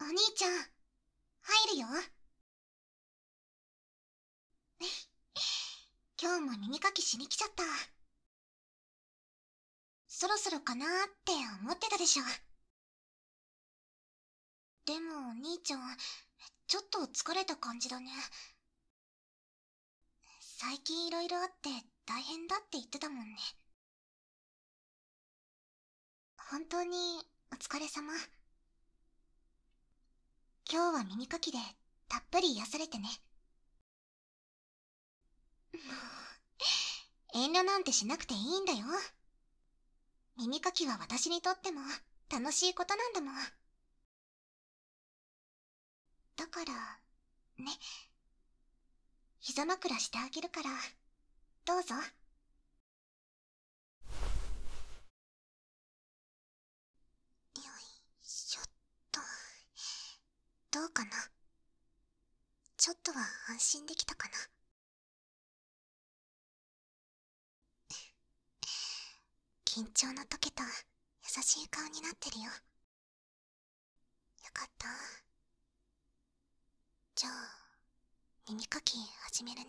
お兄ちゃん、入るよ。今日も耳かきしに来ちゃった。そろそろかなって思ってたでしょ。でもお兄ちゃんちょっと疲れた感じだね最近色々あって大変だって言ってたもんね本当にお疲れ様今日は耳かきでたっぷり癒やされてねもう遠慮なんてしなくていいんだよ耳かきは私にとっても楽しいことなんだもんだからね膝枕してあげるからどうぞよいしょっとどうかなちょっとは安心できたかな緊張の解けた優しい顔になってるよよかったじゃあ耳かき始めるね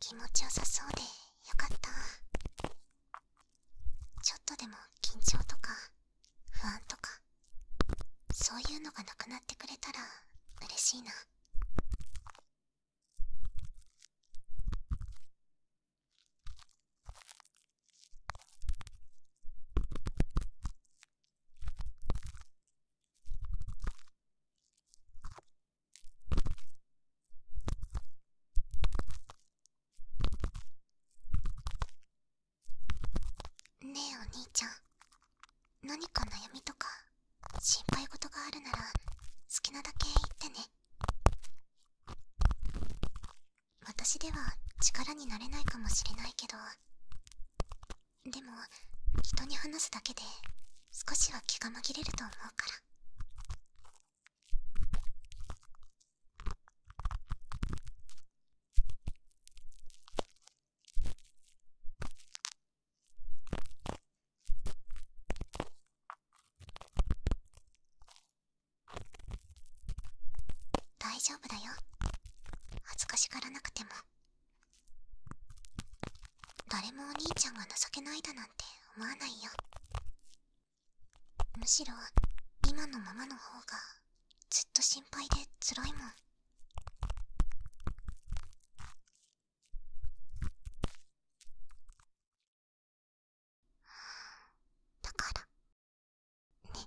気持ちよさそうでよかったちょっとでも緊張とか不安とかそういうのがなくなってくれたら嬉しいなねえお兄ちゃん何か悩みとか心配事があるなら好きなだけ言ってね私では力になれないかもしれないけどでも人に話すだけで少しは気が紛れると思うから大丈夫だよ恥ずかしがらなくても誰もお兄ちゃんが情けないだなんて思わないよむしろ今のままの方がずっと心配でつらいもんだからね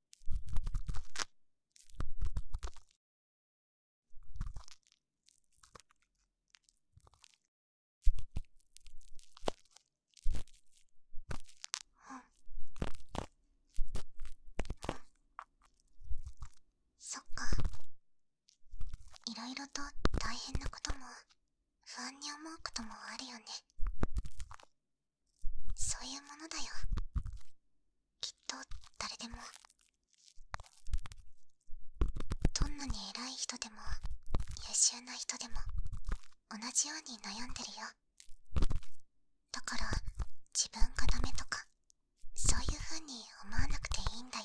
そっかいろいろと大変なことも不安に思うこともあるよねそういうものだよきっと誰でもどんなに偉い人でも優秀な人でも同じように悩んでるよだから自分がダメとかそういう風に思わなくていいんだよ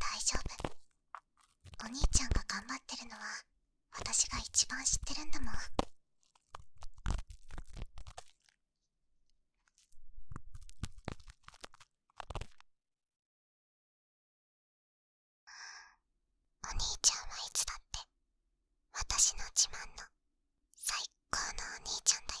大丈夫お兄ちゃんが頑張ってるのは私が一番知ってるんだもんお兄ちゃんはいつだって私の自慢の最高のお兄ちゃんだよ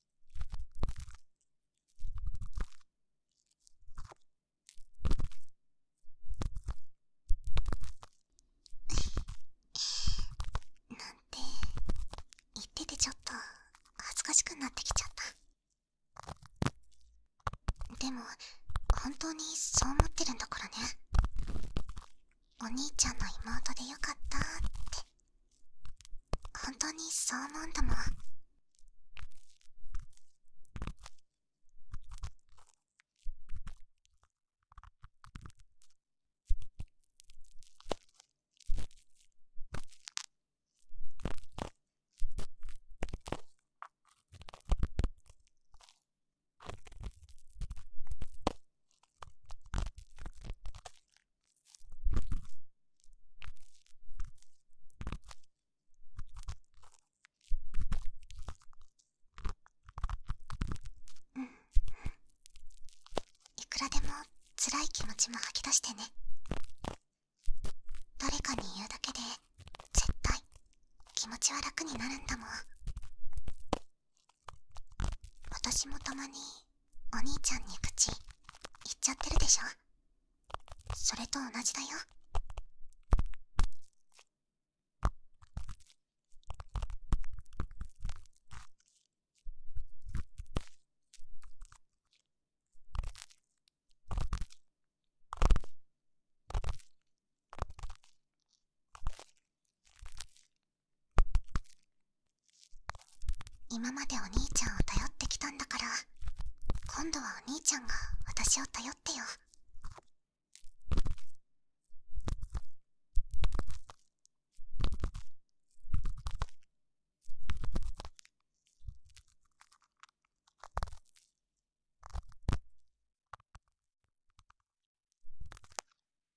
なんて言っててちょっと恥ずかしくなってきちゃったでも本当にそう思ってるんだからねお兄ちゃんの妹でよかったって本当にそう思うんだもうんいくらでも辛い気持ちも吐き出してね誰かに言うだけで絶対気持ちは楽になるんだもん私もたまにお兄ちゃんに口言っちゃってるでしょそれと同じだよ今までお兄ちゃんを頼ってきたんだから今度はお兄ちゃんが私を頼ってよ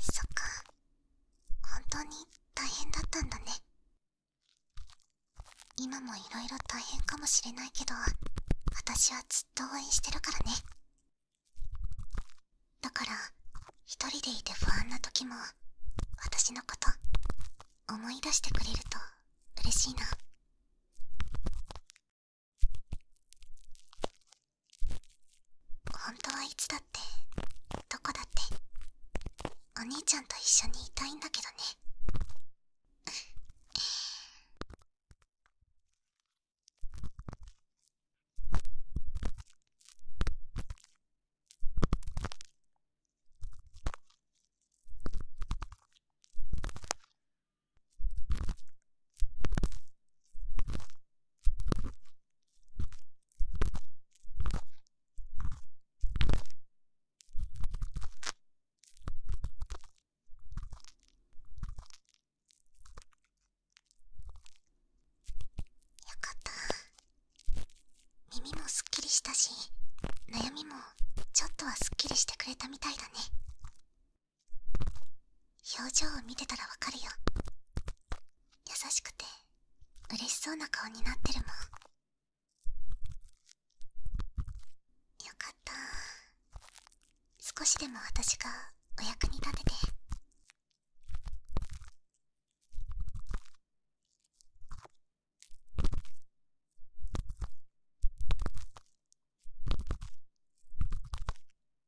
そっか本当に大変だったんだね今も色々大変かもしれないけど私はずっと応援してるからねだから一人でいて不安な時も私のこと思い出してくれると嬉しいな本当はいつだってどこだってお兄ちゃんと一緒にいたいんだけどねよかった耳もすっきりしたし悩みもちょっとはすっきりしてくれたみたいだね表情を見てたらわかるよ優しくて嬉しそうな顔になってるもんよかった少しでも私がお役に立てて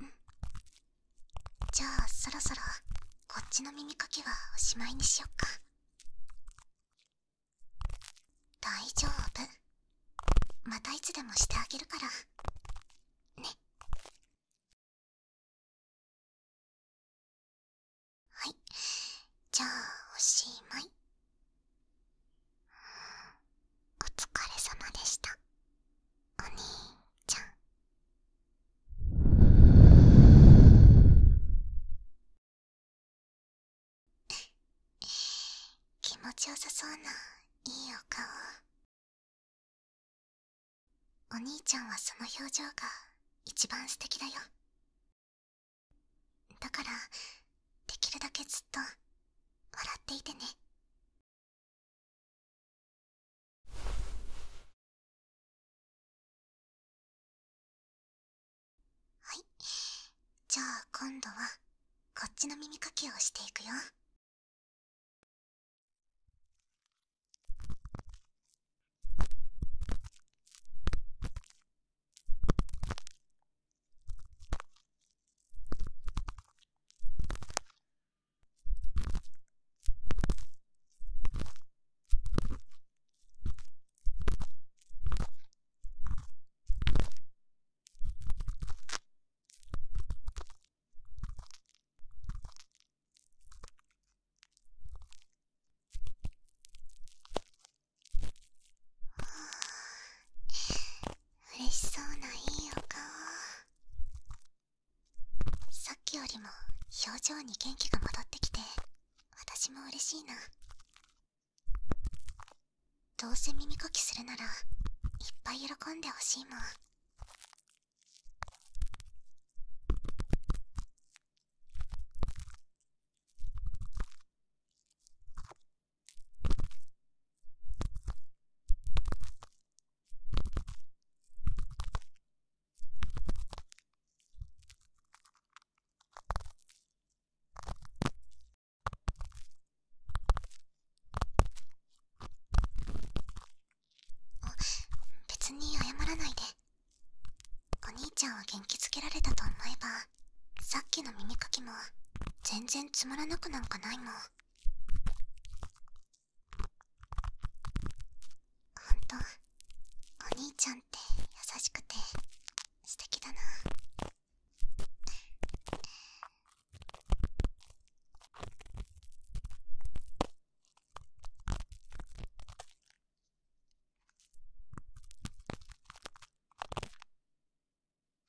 うん。じゃあそろそろこっちの耳かきはおしまいにしよっか大丈夫またいつでもしてあげるからねはいじゃあおしまいお疲れ様でしたお兄ちゃん気持ちよさそうないいお顔お兄ちゃんはその表情が一番素敵だよだからできるだけずっと笑っていてねはいじゃあ今度はこっちの耳かきをしていくよ嬉しそうないいお顔さっきよりも表情に元気が戻ってきて私も嬉しいなどうせ耳かきするならいっぱい喜んでほしいもんあ別に謝らないでお兄ちゃんを元気づけられたと思えばさっきの耳かきも全然つまらなくなんかないもんほんとお兄ちゃんって優しくて素敵だな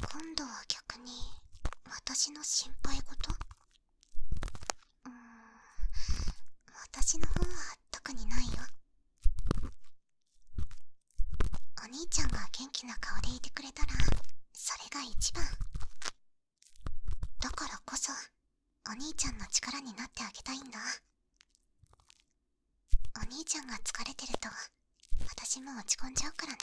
今度は逆に私の心配事ん私の方は特にないよお兄ちゃんが元気な顔でいてくれたらそれが一番だからこそお兄ちゃんの力になってあげたいんだお兄ちゃんが疲れてると私も落ち込んじゃうからね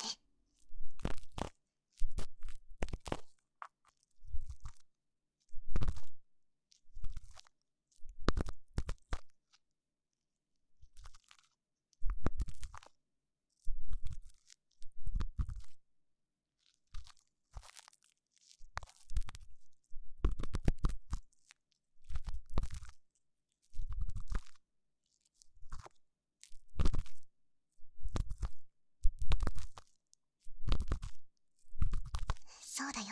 そうだよ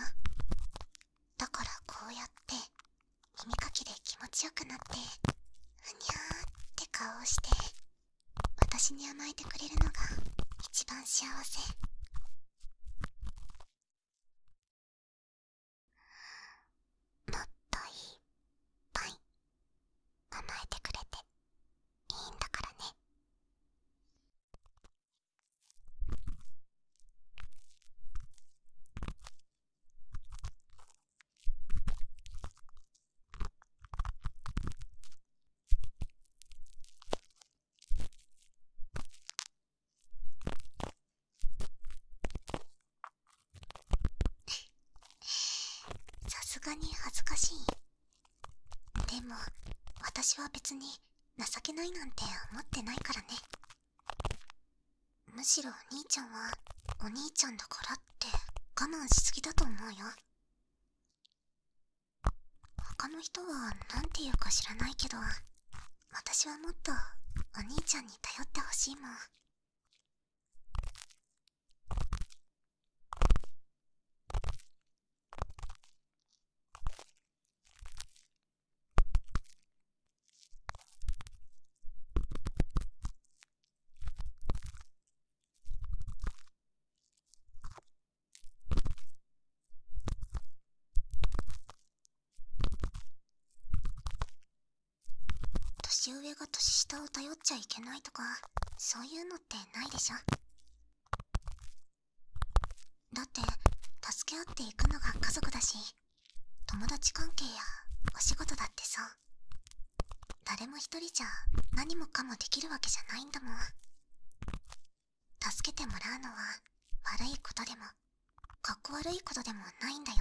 だからこうやって耳かきで気持ちよくなってふにゃーって顔をして私に甘えてくれるのが一番幸せもっといっぱい甘えてくれていいんだからねさすがに恥ずかしいでも私は別に情けないなんて思ってないからねむしろお兄ちゃんはお兄ちゃんだからって我慢しすぎだと思うよ他の人は何て言うか知らないけど私はもっとお兄ちゃんに頼ってほしいもん年上が年下を頼っちゃいけないとかそういうのってないでしょだって助け合っていくのが家族だし友達関係やお仕事だってそう誰も一人じゃ何もかもできるわけじゃないんだもん助けてもらうのは悪いことでもかっこ悪いことでもないんだよ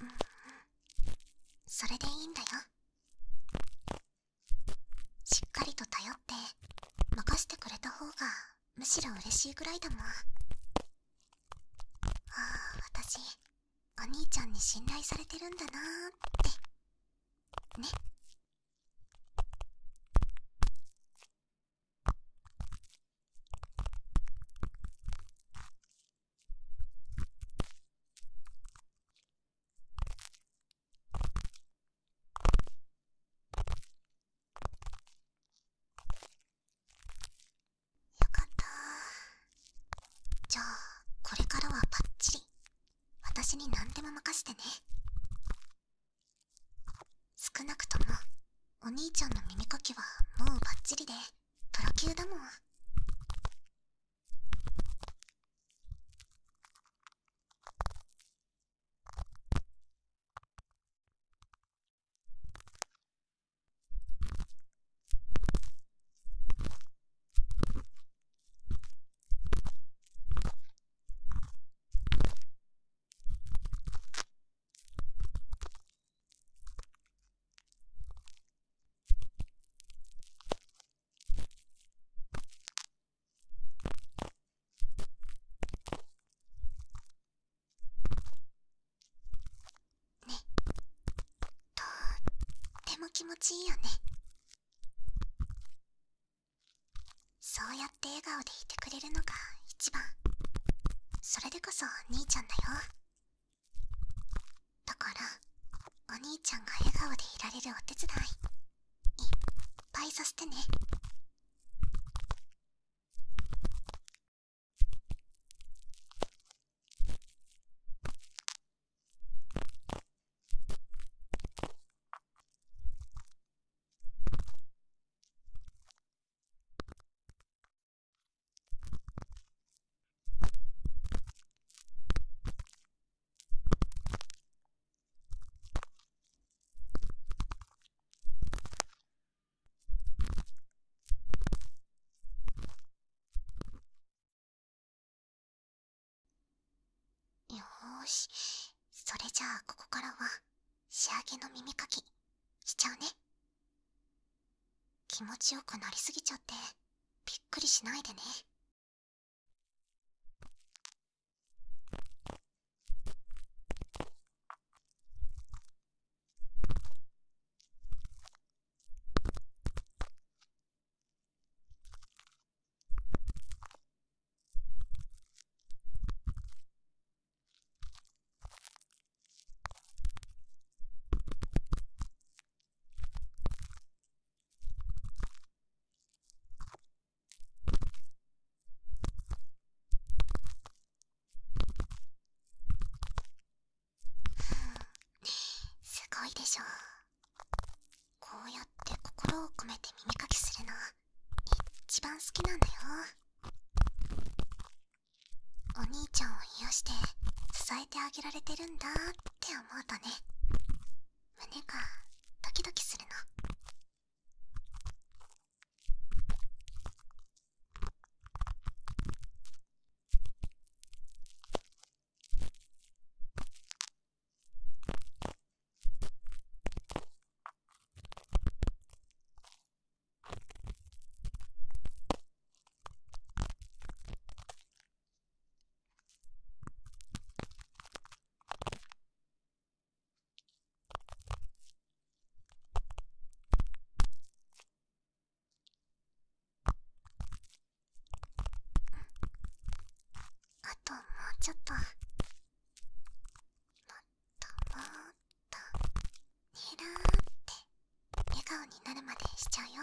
うんそれでいいんだよしっかりと頼って任せてくれた方がむしろ嬉しいぐらいだもんああ私お兄ちゃんに信頼されてるんだなーってねよかったじゃあこれからはパッチリ私に何でも任せてね少なくともお兄ちゃんの耳かきはもうバッチリでドロ級だもん。ね。とっても気持ちいいよねそうやって笑顔でいてくれるのが一番それでこそ兄ちゃんだよだからお兄ちゃんが笑顔でいられるお手伝いいっぱいさせてねよーしそれじゃあここからは仕上げの耳かきしちゃうね気持ちよくなりすぎちゃってびっくりしないでねすごいでしょこうやって心を込めて耳かきするの一番好きなんだよお兄ちゃんを癒して支えてあげられてるんだって思うとね胸がドキドキするの。あともうちょっともっともとにらーって笑顔になるまでしちゃうよ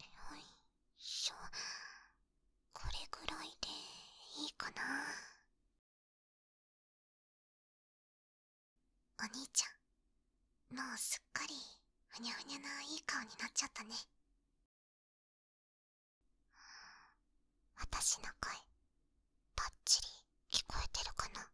よいしょこれぐらいでいいかなお兄ちゃんもうすっかりふにゃふにゃないい顔になっちゃったね私の声ばっちり聞こえてるかな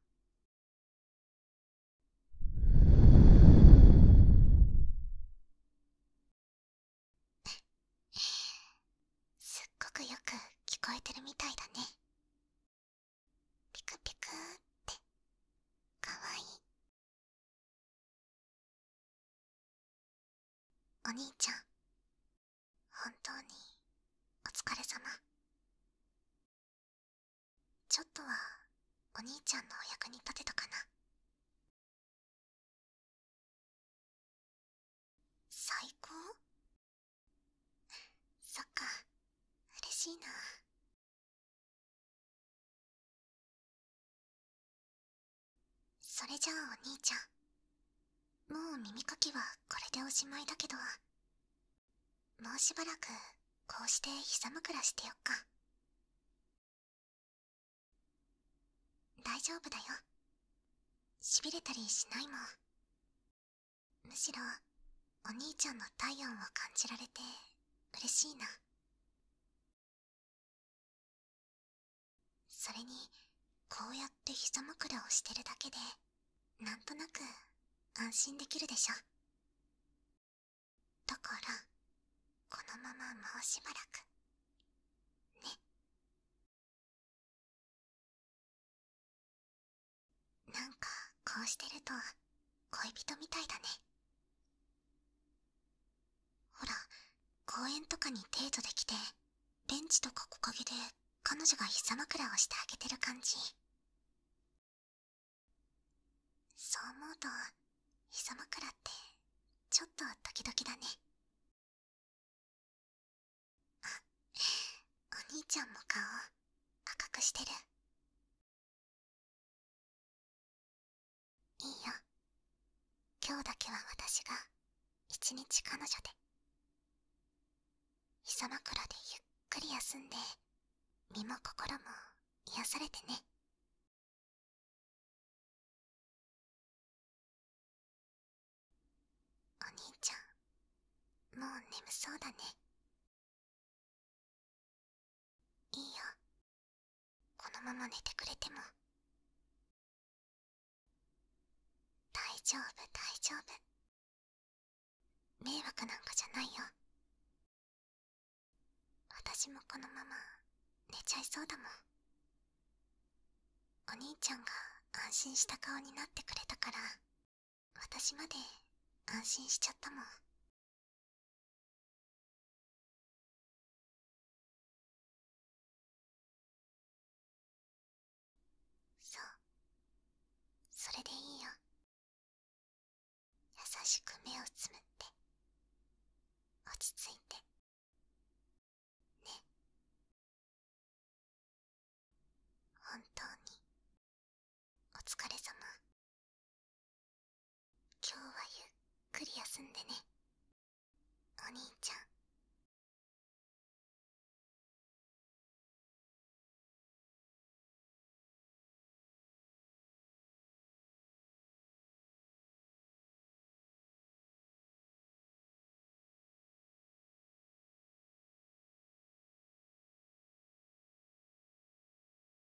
すっごくよく聞こえてるみたいだねピクピクってかわいいお兄ちゃん本当にお疲れ様ちょっとはお兄ちゃんのお役に立てたかな最高 そっか嬉しいなそれじゃあお兄ちゃんもう耳かきはこれでおしまいだけどもうしばらくこうして膝枕してよっか大丈夫だよしびれたりしないもんむしろお兄ちゃんの体温を感じられて嬉しいなそれにこうやって膝枕をしてるだけでなんとなく安心できるでしょだからこのままもうしばらくねなんかこうしてると恋人みたいだねほら公園とかにデートできてベンチとか木陰で彼女が膝枕をしてあげてる感じそう思うと膝枕ってちょっとドキドキだねあお兄ちゃんも顔赤くしてるいいよ今日だけは私が一日彼女で膝枕でゆっくり休んで身も心も癒やされてねお兄ちゃんもう眠そうだねいいよこのまま寝てくれても大丈夫大丈夫迷惑なんかじゃないよ私もこのまま寝ちゃいそうだもんお兄ちゃんが安心した顔になってくれたから私まで安心しちゃったもんそうそれでいいよ優しく目をつむって落ち着いてね本当に今日はゆっくり休んでねお兄ちゃん